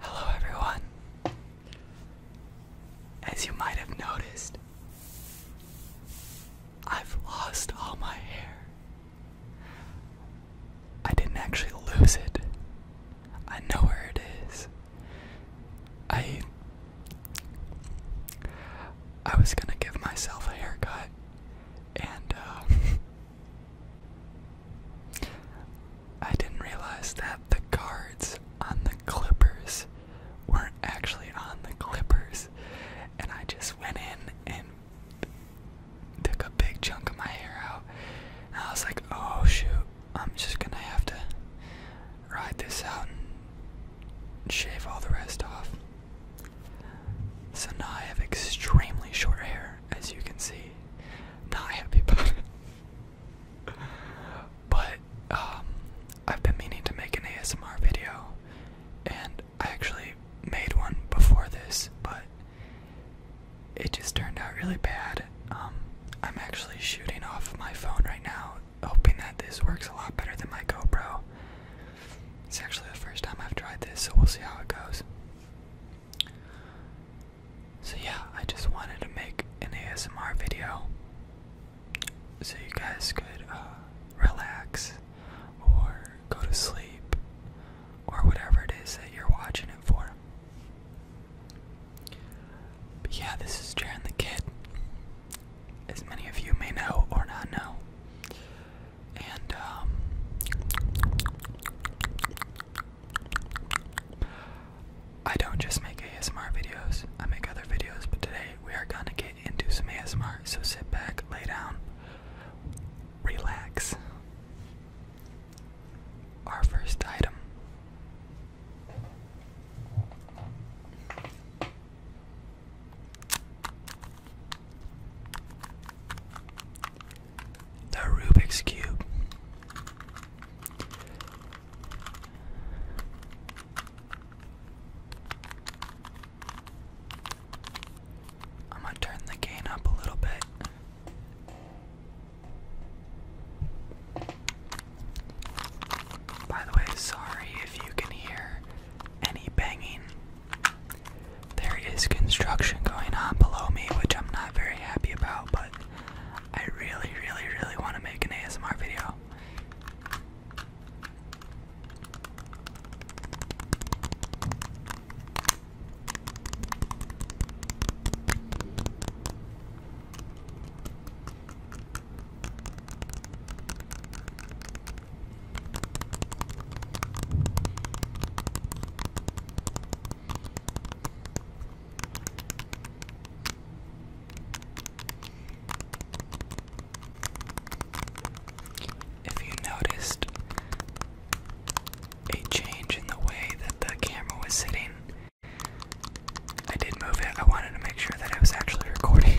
Hello, everyone. As you might have noticed, I've lost all my hair. I didn't actually lose it, I know where it is. I. I was gonna give myself a haircut, and uh, I didn't realize that the guards on the Clippers weren't actually on the Clippers, and I just went in and took a big chunk of my hair out. I was like, oh shoot, I'm just gonna have to ride this out and shave all the rest off. So now I have extremely short hair as you can see, not happy about but um, I've been meaning to make an ASMR video, and I actually made one before this, but it just turned out really bad. Um, I'm actually shooting off my phone right now, hoping that this works a lot better than my GoPro. It's actually the first time I've tried this, so we'll see how it goes. So, yeah, I just wanted to make an ASMR video so you guys could uh, relax or go to sleep or whatever it is that you're watching it for. But yeah, this is Jaren the Kid. As many of you may know or not know, and um, I don't just make ASMR videos, I make other videos, but today we are gonna get into some ASMR, so sit back, lay down, relax. Our first item. The Rubik's Cube. I'm going to turn the gain up a little bit. By the way, sorry if you can hear any banging there is construction going on below me, which I'm not very happy about, but I really, really, really want to make an ASMR video. If you noticed a change in the way that the camera was sitting, I did move it. I wanted to make sure that I was actually recording.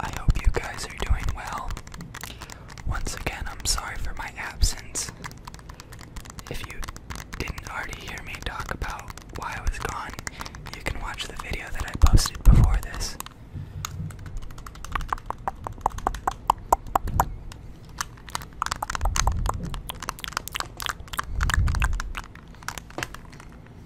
I hope you guys are doing well. Once again, I'm sorry for my absence. If you didn't already hear me talk about why I was gone, you can watch the video that I posted before this.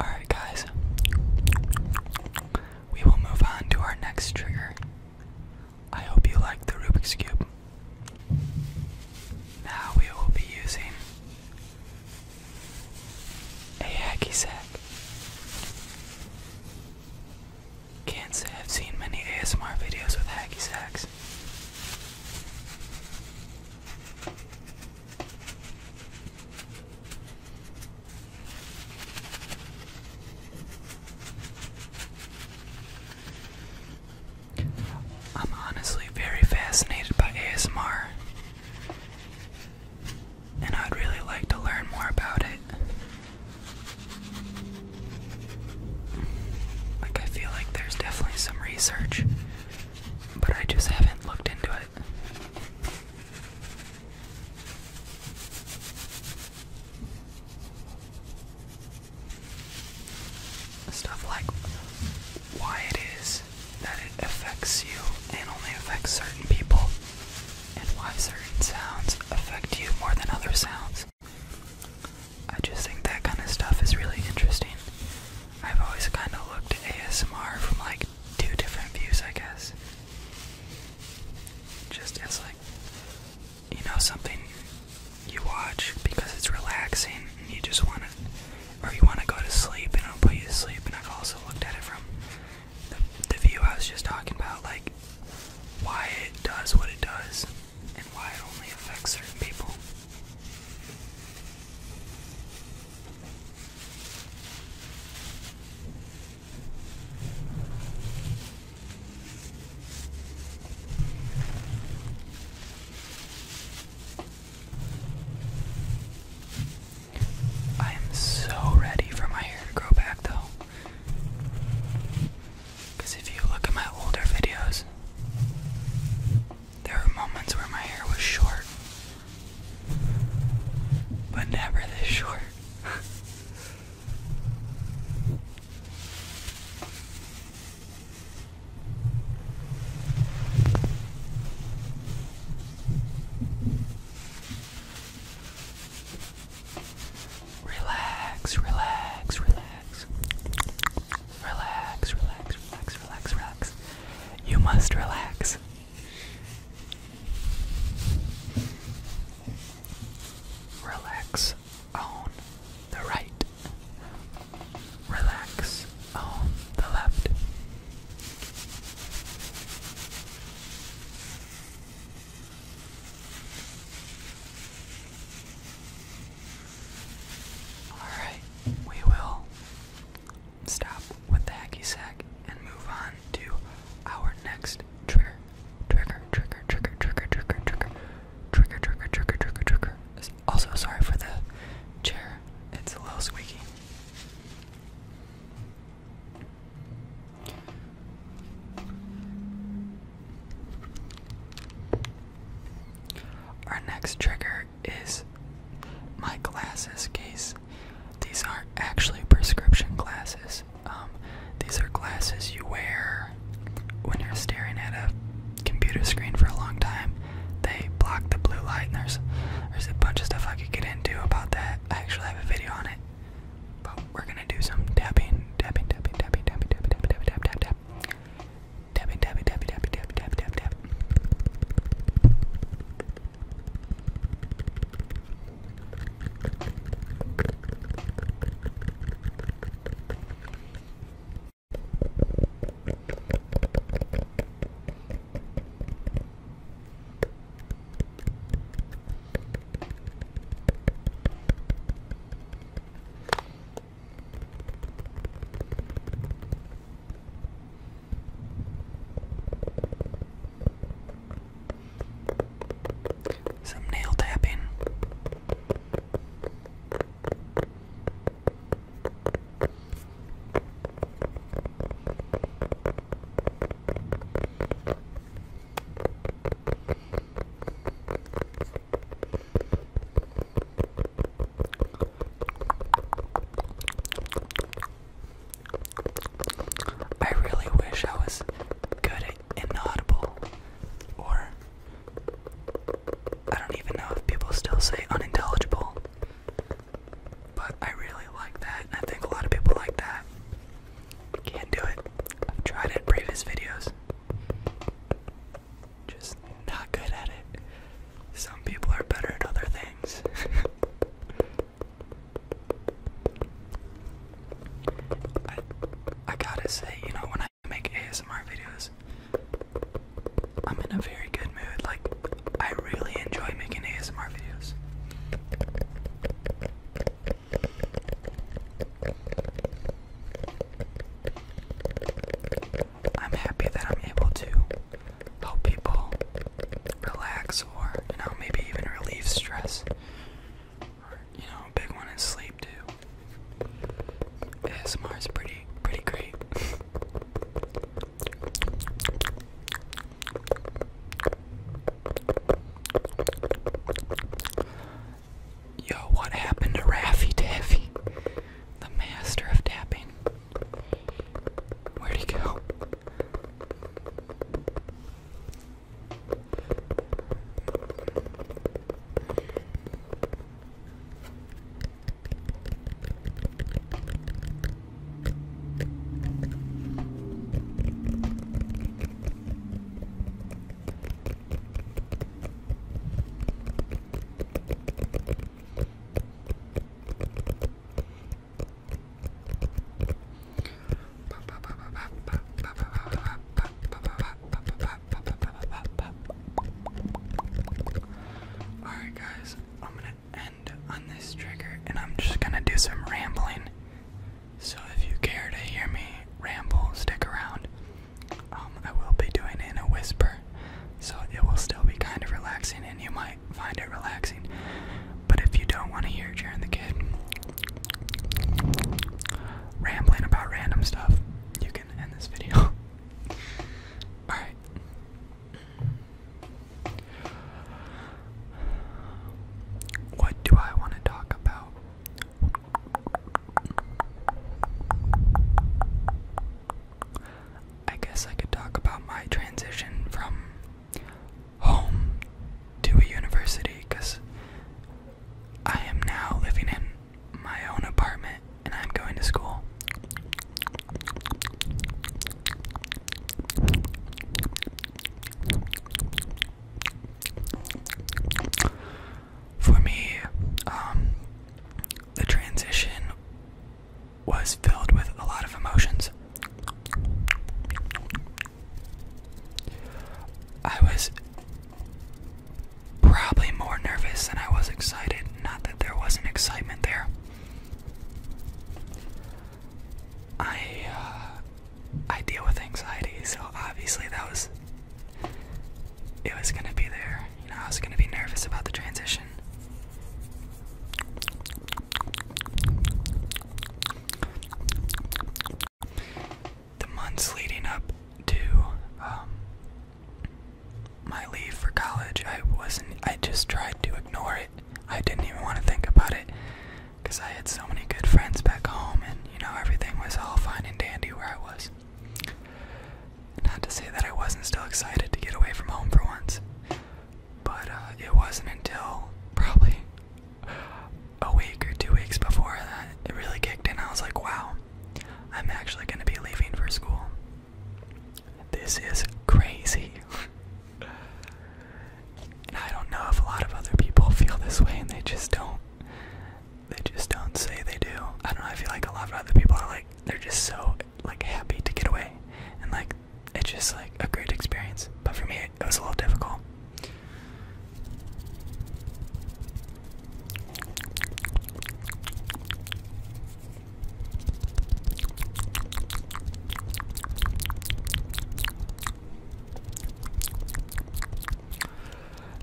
Alright, guys, we will move on to our next trigger. I hope you like the Rubik's Cube. Now we will be using a hacky sack. Can't say I've seen many ASMR videos with hacky sacks. I'm honestly very fascinated by ASMR, and I'd really like to learn more about it. Like, I feel like there's definitely some research, but I just haven't looked into it. Stuff like why it is that it affects you and only affects certain people, and why certain sounds affect you more than other sounds. I just think that kind of stuff is really interesting. I've always kind of looked at ASMR from like two different views, I guess. Just as like you know something you watch because it's relaxing and you just want to, or you want to go to sleep and it'll put you to sleep. And I've also looked at it from the, the view I was just talking about, like why it does what it does and why it only affects certain people. I am so ready for my hair to grow back though. Because if you look at my older videos, there were moments where my hair was short but never this short. relax, relax, relax. Relax, relax, relax, relax, relax. You must relax. Relax on the right. Relax on the left. All right, we will stop with the hacky sack and move on to our next trigger. Trigger, trigger, trigger, trigger, trigger, trigger, trigger, trigger, trigger, trigger, trigger. Also, sorry for the chair, it's a little squeaky. Our next trigger is my glasses case. These aren't actually prescription glasses. Um, these are glasses you wear when you're staring at a computer screen for a long time. They block the blue light, and there's there's a bunch of stuff I could get into about that. I actually have a video on it, but we're gonna do some tapping, tapping, tapping, tapping, tapping, tapping, tapping, tapping, tapping, tapping, tapping. Tap it, tap it, tap it, tap it, tap it, tap it, tap it, tap it. Tap some nail tapping. I really wish I was good at inaudible, or I don't even know if people still say unintelligible, but I really like that, and I think a lot of people like that. Can't do it. tried it in previous videos just not good at it. Some people are better at other things. I, I gotta say, you know, when I make ASMR videos, I'm in a very good mood. Like, I really enjoy making ASMR videos. I'm happy that I'm able to help people relax or, you know, maybe even relieve stress. Or, you know, big one is sleep too. ASMR is pretty, pretty great. Yo, what happened to Raffy Taffy? The master of tapping. Where'd he go? Alright, guys, I'm gonna end on this trigger and I'm just gonna do some rambling. So if you care to hear me ramble, stick around. Um, I will be doing it in a whisper, so it will still be kind of relaxing, and you might find it relaxing. But if you don't want to hear Jaren the Kid rambling about random stuff, you can end this video. Alright. What do I want to talk about? I guess I could talk about my transition from home to a university because I am now living in my own apartment and I'm going to school for me, um, the transition was filled with a lot of emotions. I was probably more nervous than I was excited, not that there wasn't excitement there. I uh, I deal with anxiety, so obviously that was it was gonna be there. You know, I was gonna be nervous about the transition. The months leading up to um, my leave for college, I wasn't. I just tried to ignore it. I didn't even want to think about it because I had so many good friends back home, and you know everything was all fine and dandy where I was. Not to say that I wasn't still excited to get away from home for once, but uh, it wasn't until probably a week or two weeks before that it really kicked in. I was like, wow, I'm actually going to be leaving for school. This is crazy. and I don't know if a lot of other people feel this way and they just don't they just don't say they do. I don't know, I feel like a lot of other people are like they're just so like happy to get away and like it's just like a great experience. But for me it, was a little difficult.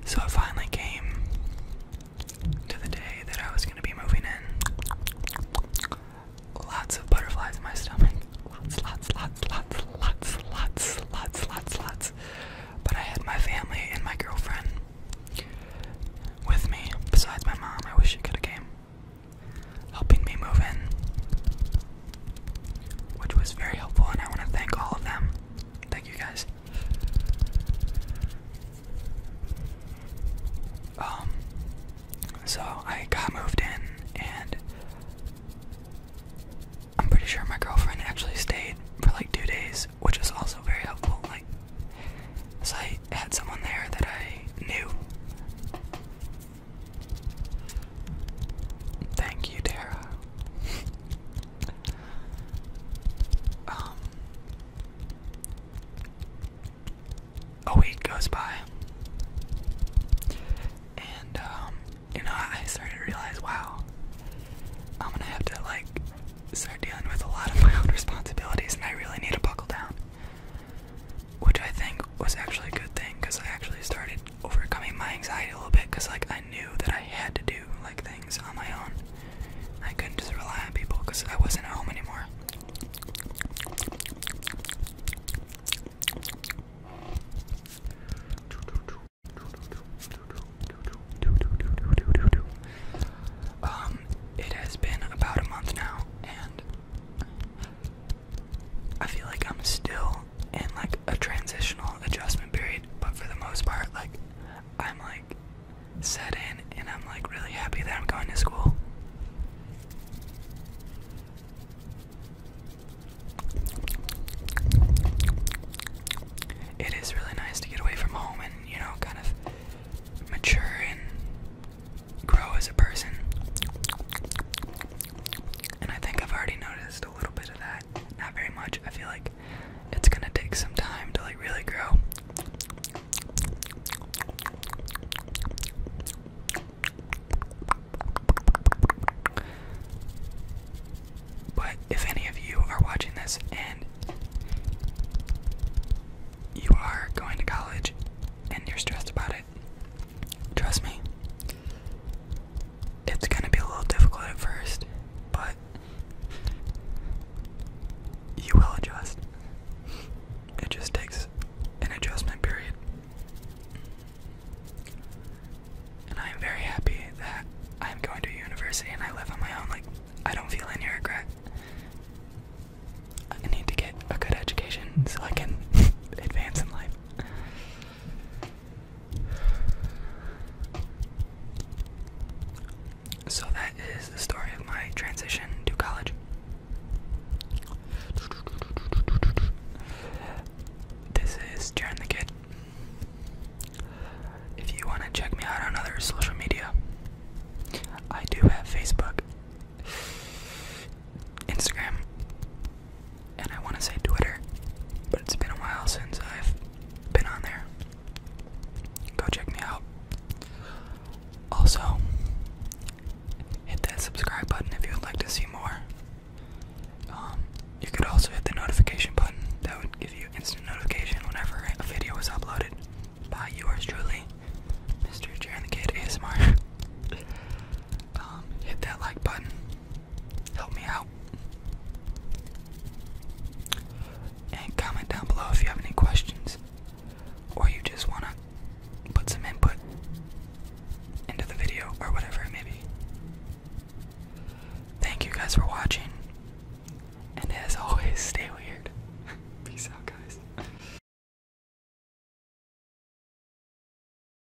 So it finally came to the day that I was going to be moving in. Lots of butterflies in my stomach. Lots, lots, lots, lots, lots, lots, lots, lots, lots. But I had my family and my girlfriend with me, besides my mom. I wish she could have came. Helping me move in, which was very helpful, and I want to thank all of them. Thank you guys. Um, so I got moved in, and I'm pretty sure my girlfriend actually stayed for like two days, which was also very helpful. Like, so I had someone there that I knew. Thank you, Tara. Um, a week goes by, and um, you know, I started to realize, wow, I'm gonna have to like start dealing with a lot of my own responsibilities, and I really need to buckle down. Which I think was actually a good thing because I actually started overcoming my anxiety a little bit because, like, I knew that I had to do like things on my own. I couldn't just rely on people because I wasn't at home anymore. Um, it has been about a month now, and I feel like I'm still middle and like a transitional adjustment period, but for the most part, like I'm like set in and I'm like really happy that I'm going to school. It is really nice to get away from home and, you know, kind of mature and grow as a person. And I think I've already noticed a little bit of that. Not very much. I feel like it's gonna take some time to like really grow. But if any of you are watching this and you are going to college and you're stressed about it, trust me, it's gonna be a little difficult at first, but you will adjust. It just takes an adjustment period. And I am very happy that I'm going to university and I live on my own. Like, I don't feel any regret. I need to get a good education so I can advance in life. So that is the story of my transition to college. This is Jaren Kid. If you want to check me out on other social media, I do have Facebook, Instagram, and I want to say Twitter, but it's been a while since I've been on there. Go check me out. Also, hit that subscribe button if you would like to see more. Um, you could also hit the notification button, that would give you instant notification whenever a video is uploaded by yours truly, Mr. Jaren the Kid ASMR. um, hit that like button. Help me out. And comment down below if you have any questions or you just want to put some input into the video or whatever it may be. Thank you guys for watching. And as always, stay weird. Peace out, guys.